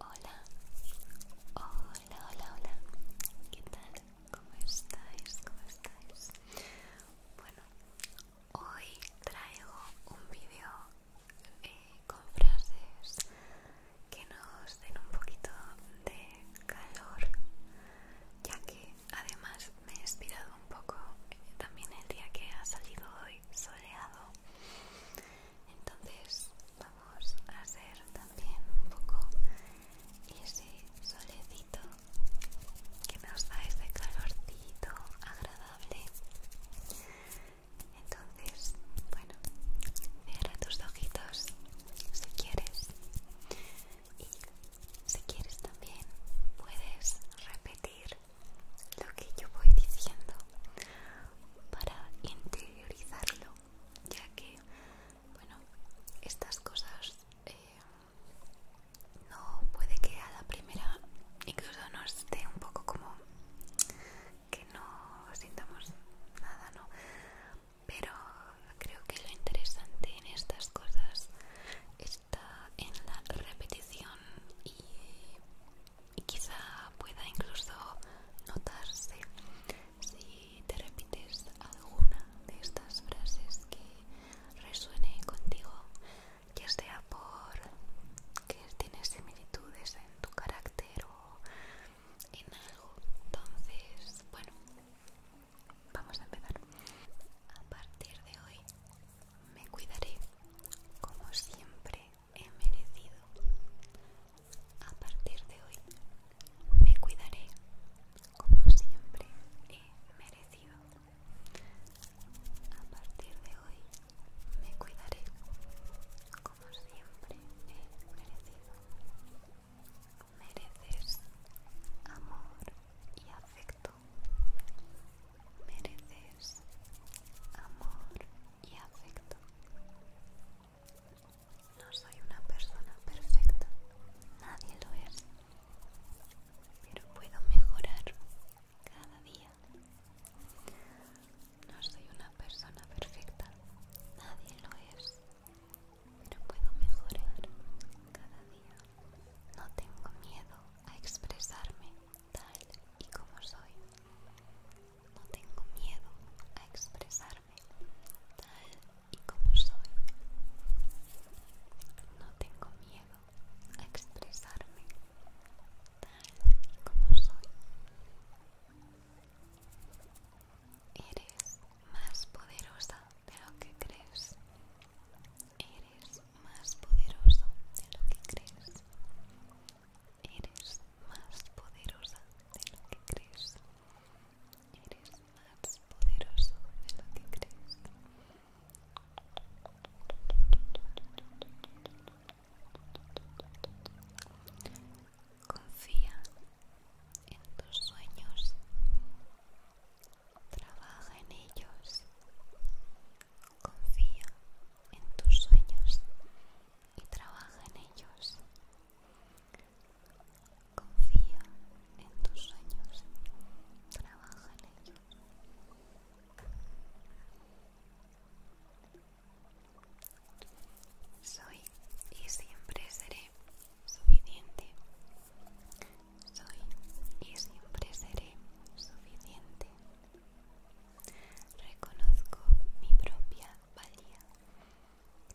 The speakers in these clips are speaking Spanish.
Hola, hola, hola, hola. ¿Qué tal? ¿Cómo estáis? ¿Cómo estáis? Bueno, hoy traigo un vídeo eh, con frases que nos den un poquito de calor, ya que además me he inspirado un poco eh, también el día que ha salido hoy soleado entonces vamos a hacer también un poco ese solecito que nos da ese calorcito agradable entonces bueno cierra tus ojitos si quieres y si quieres también puedes repetir lo que yo voy diciendo para interiorizarlo, ya que, bueno, estas cosas eh, no puede que a la primera incluso nos esté un poco como que no sintamos nada, ¿no? Pero creo que lo interesante en estas cosas está en la repetición y y quizá pueda incluso notarse si te repites alguna de estas frases que resuene contigo, ya sea por que tienes similitudes en tu carácter o en algo. Entonces, bueno, vamos a empezar. A partir de hoy me cuidaré como siempre he merecido. A partir de hoy me cuidaré como siempre he merecido. A partir de hoy me cuidaré como siempre he merecido. Mereces amor y afecto. Mereces amor y afecto. No soy una persona perfecta, nadie lo es, pero puedo mejorar cada día. No soy una persona perfecta, nadie lo es, pero puedo mejorar cada día. No tengo miedo a expresarme tal y como soy no tengo miedo a expresarme tal y como soy. No tengo miedo a expresarme tal y como soy. Eres más poderosa de lo que crees. Eres más poderoso de lo que crees. Eres más poderosa de lo que crees. Eres más poderoso de lo que crees. Confía en tus sueños. Trabaja en ellos. Confía en tus sueños y trabaja en ellos. Confía en tus sueños, trabaja en ellos. Soy y siempre seré suficiente. Soy y siempre seré suficiente. Reconozco mi propia valía.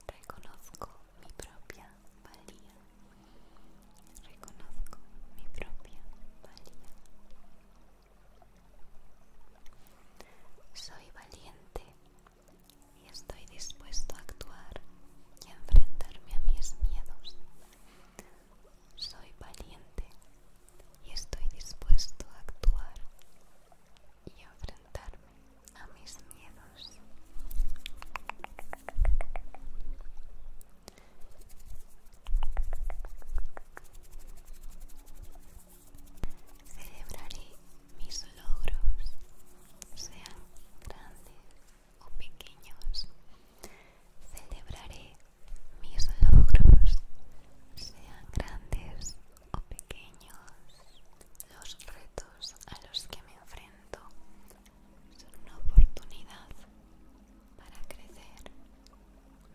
Reconozco mi propia valía. Reconozco mi propia valía. Soy valiente y estoy dispuesto a actuar y enfrentarme a mis miedos. Soy valiente y estoy dispuesto a actuar y enfrentarme a mis miedos. Celebraré mis logros, sean grandes o pequeños. Celebraré mis logros, sean grandes o pequeños, los retos a los que me enfrento son una oportunidad para crecer,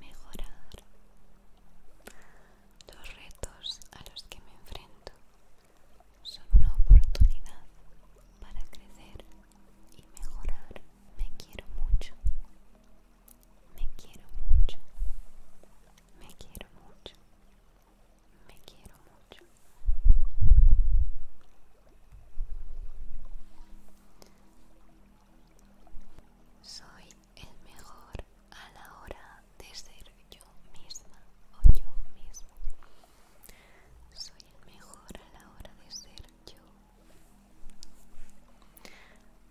mejorar. Los retos a los que me enfrento son una oportunidad para crecer y mejorar. Me quiero mucho. Me quiero mucho. Me quiero mucho. Me quiero mucho. Soy el mejor a la hora de ser yo misma o yo mismo. Soy el mejor a la hora de ser yo.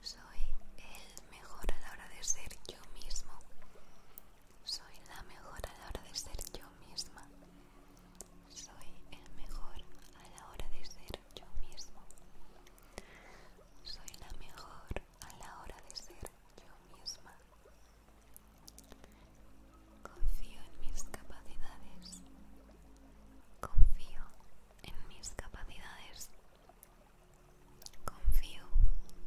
Soy el mejor a la hora de ser yo mismo. Soy la mejor a la hora de ser yo misma. Soy el mejor a la hora de ser yo mismo. Soy la mejor a la hora de ser yo misma. Confío en mis capacidades. Confío en mis capacidades. Confío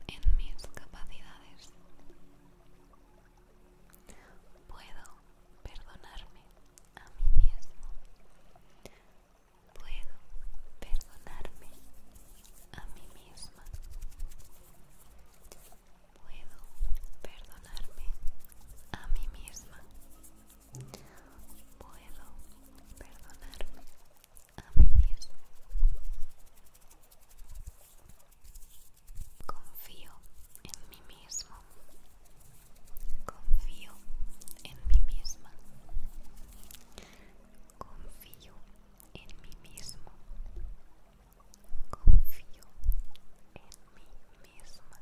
en mis capacidades. Puedo perdonarme a mí mismo. Puedo perdonarme a mí misma. Puedo perdonarme a mí misma. Puedo perdonarme Confío en mí mismo. Confío en mí misma. Confío en mí mismo. Confío en mí misma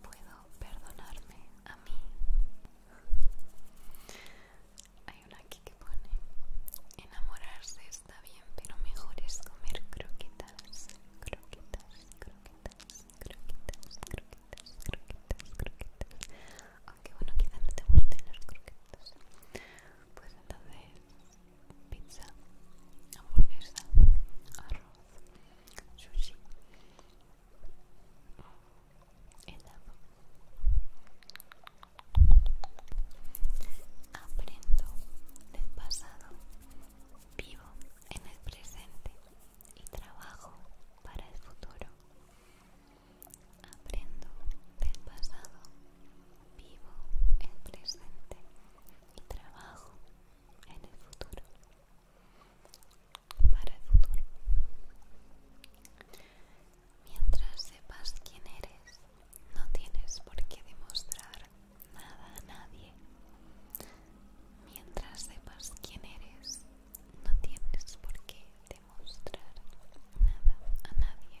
puedo perdonarme a mí. Hay una aquí que pone, enamorarse está bien, pero mejor es comer croquetas, croquetas, croquetas, croquetas, croquetas, croquetas, croquetas. Aunque bueno, quizá no te gusten las croquetas. Pues entonces, pizza, hamburguesa, arroz, sushi. Aprendo del pasado, vivo en el presente y trabajo para el futuro. Aprendo del pasado, vivo el presente y trabajo en el futuro para el futuro. Mientras sepas quién eres, no tienes por qué demostrar nada a nadie. Mientras sepas quién eres, no tienes por qué demostrar nada a nadie.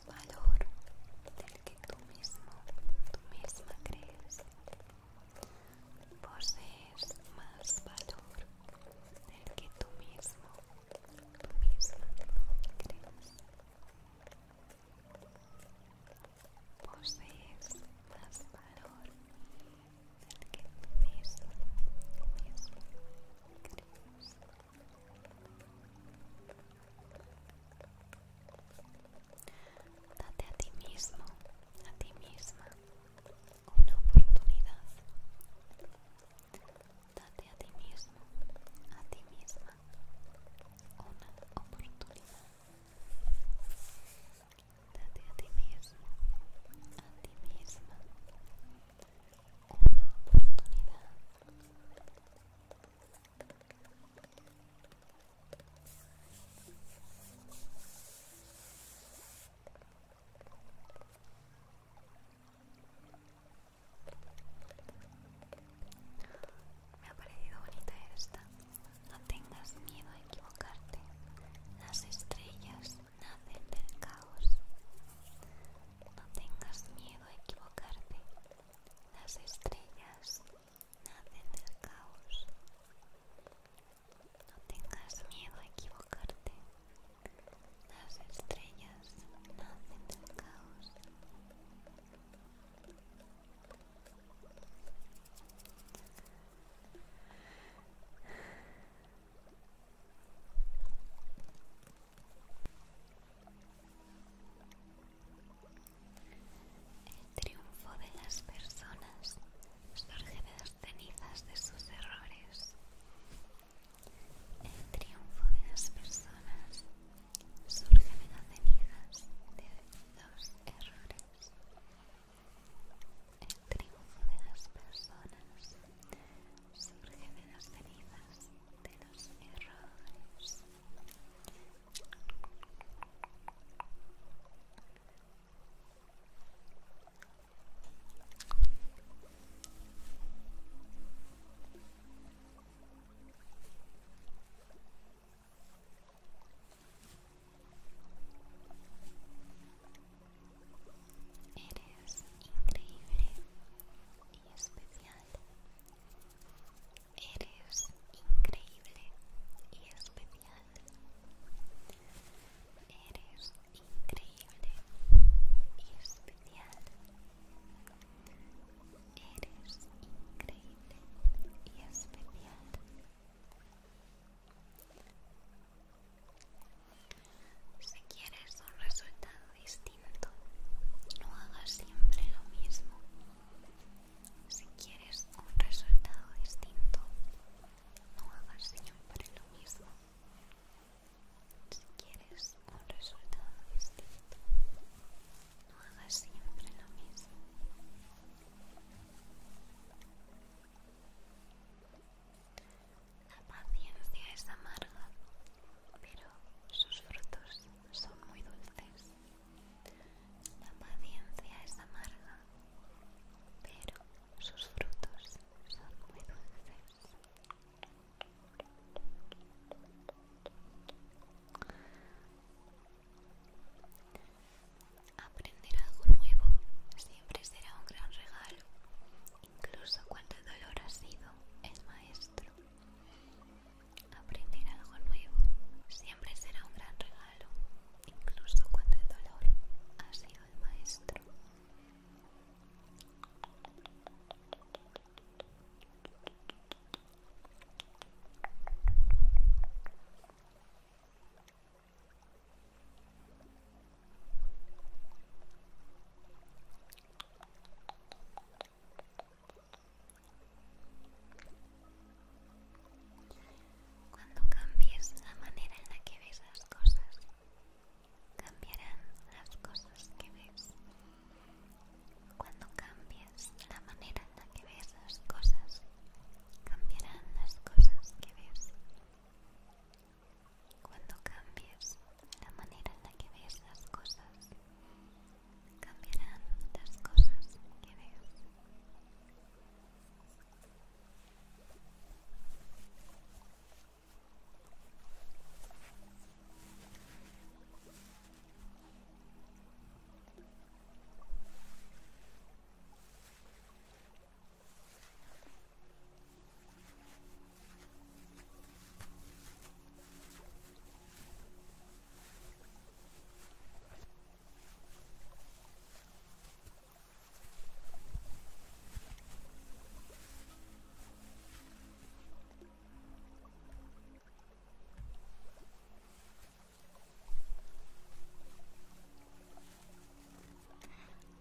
valor del que tú mismo, tú misma crees. Posees más valor del que tú mismo, tú misma crees. Posees más valor del que tú mismo, tú misma crees. Date a ti mismo, a ti misma, una oportunidad. Date a ti mismo, a ti misma, una oportunidad. Date a ti mismo, a ti misma, una oportunidad. Me ha parecido bonita esta. No tengas miedo a equivocarte. Las estrellas nacen del caos. No tengas miedo a equivocarte. Las estrellas nacen del caos. No tengas miedo a equivocarte. Las estrellas nacen del caos. El triunfo de las personas surge de las cenizas de sus errores. El triunfo de las personas surge de las cenizas de los errores. El triunfo de las personas surge de las cenizas de los errores. Eres increíble y especial. Eres increíble y especial. Eres increíble y especial. Eres increíble y especial. Si quieres un resultado distinto, no hagas siempre lo mismo. Si quieres un resultado distinto, no hagas siempre lo mismo. Si quieres un resultado distinto, no hagas siempre lo mismo. La paciencia es amarga, pero sus frutos son muy dulces. La paciencia es amarga, pero sus frutos son muy dulces. Aprender algo nuevo siempre será un gran regalo, incluso cuando el dolor ha sido el maestro. Aprender algo nuevo siempre será un gran regalo, incluso cuando el dolor ha sido el maestro. Cuando cambies la manera en la que ves las cosas, cambiarán las cosas que ves. Cuando cambies la manera en la que ves las cosas, cambiarán las cosas que ves. Cuando cambies la manera en la que ves las cosas, cambiarán las cosas que veas.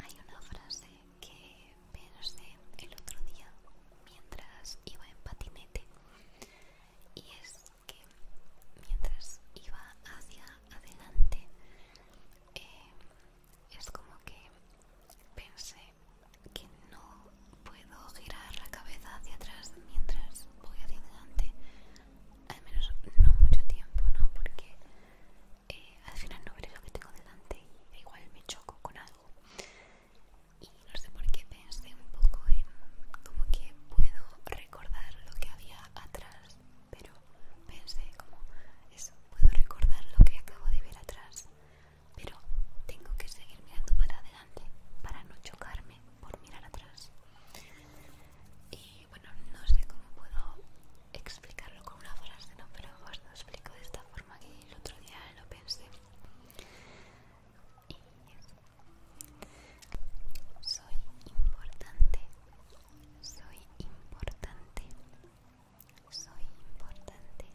Hay una frase que pensé el otro día mientras iba en patinete y es que mientras iba hacia adelante eh, es como que pensé que no puedo girar la cabeza hacia atrás mientras voy hacia adelante al menos no mucho tiempo no porque eh, al final no veré lo que tengo delante y igual me choco con algo y no sé por qué pensé un poco en como que puedo recordar lo que había atrás, pero pensé como eso, puedo recordar lo que acabo de ver atrás, pero tengo que seguir mirando para adelante para no chocarme por mirar atrás. Y bueno, no sé cómo puedo explicarlo con una frase, no, pero os lo explico de esta forma que el otro día lo pensé soy importante, soy importante, soy importante.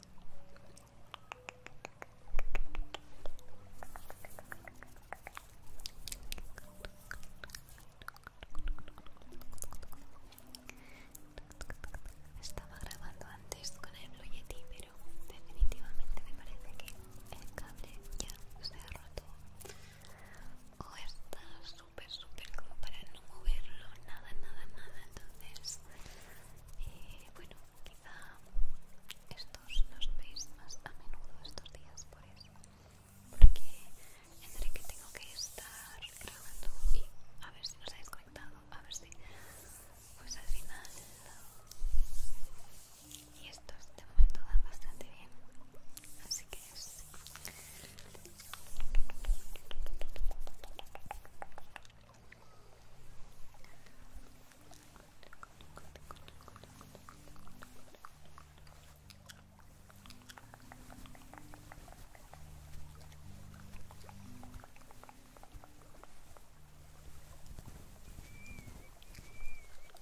Estaba grabando antes con el Blue Yeti, pero definitivamente me parece que el cable ya se ha roto o está súper súper como para no moverlo nada nada nada entonces eh, bueno quizá estos los veis más a menudo estos días por eso porque tendré que tengo que estar grabando y a ver si nos habéis conectado a ver si pues al final y estos de momento van bastante bien así que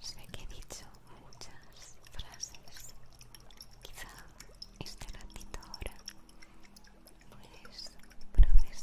Sé que he dicho muchas frases, quizá este ratito ahora puedes procesarlos.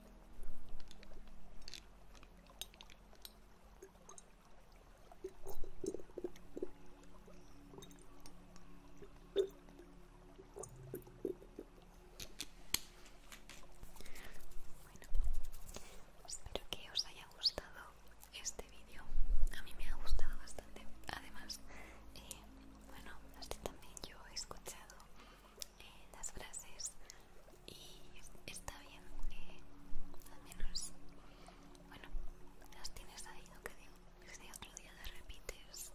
Bueno, espero que os haya gustado este vídeo. A mí me ha gustado bastante. Además, eh, bueno, así también yo he escuchado las frases y está bien, eh, al menos, bueno, las tienes ahí, lo que digo, si otro día las repites.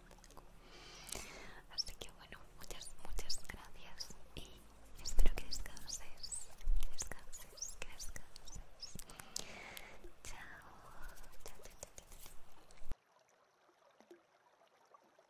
Así que bueno, muchas, muchas gracias y espero que descanses, que descanses, que descanses. chao.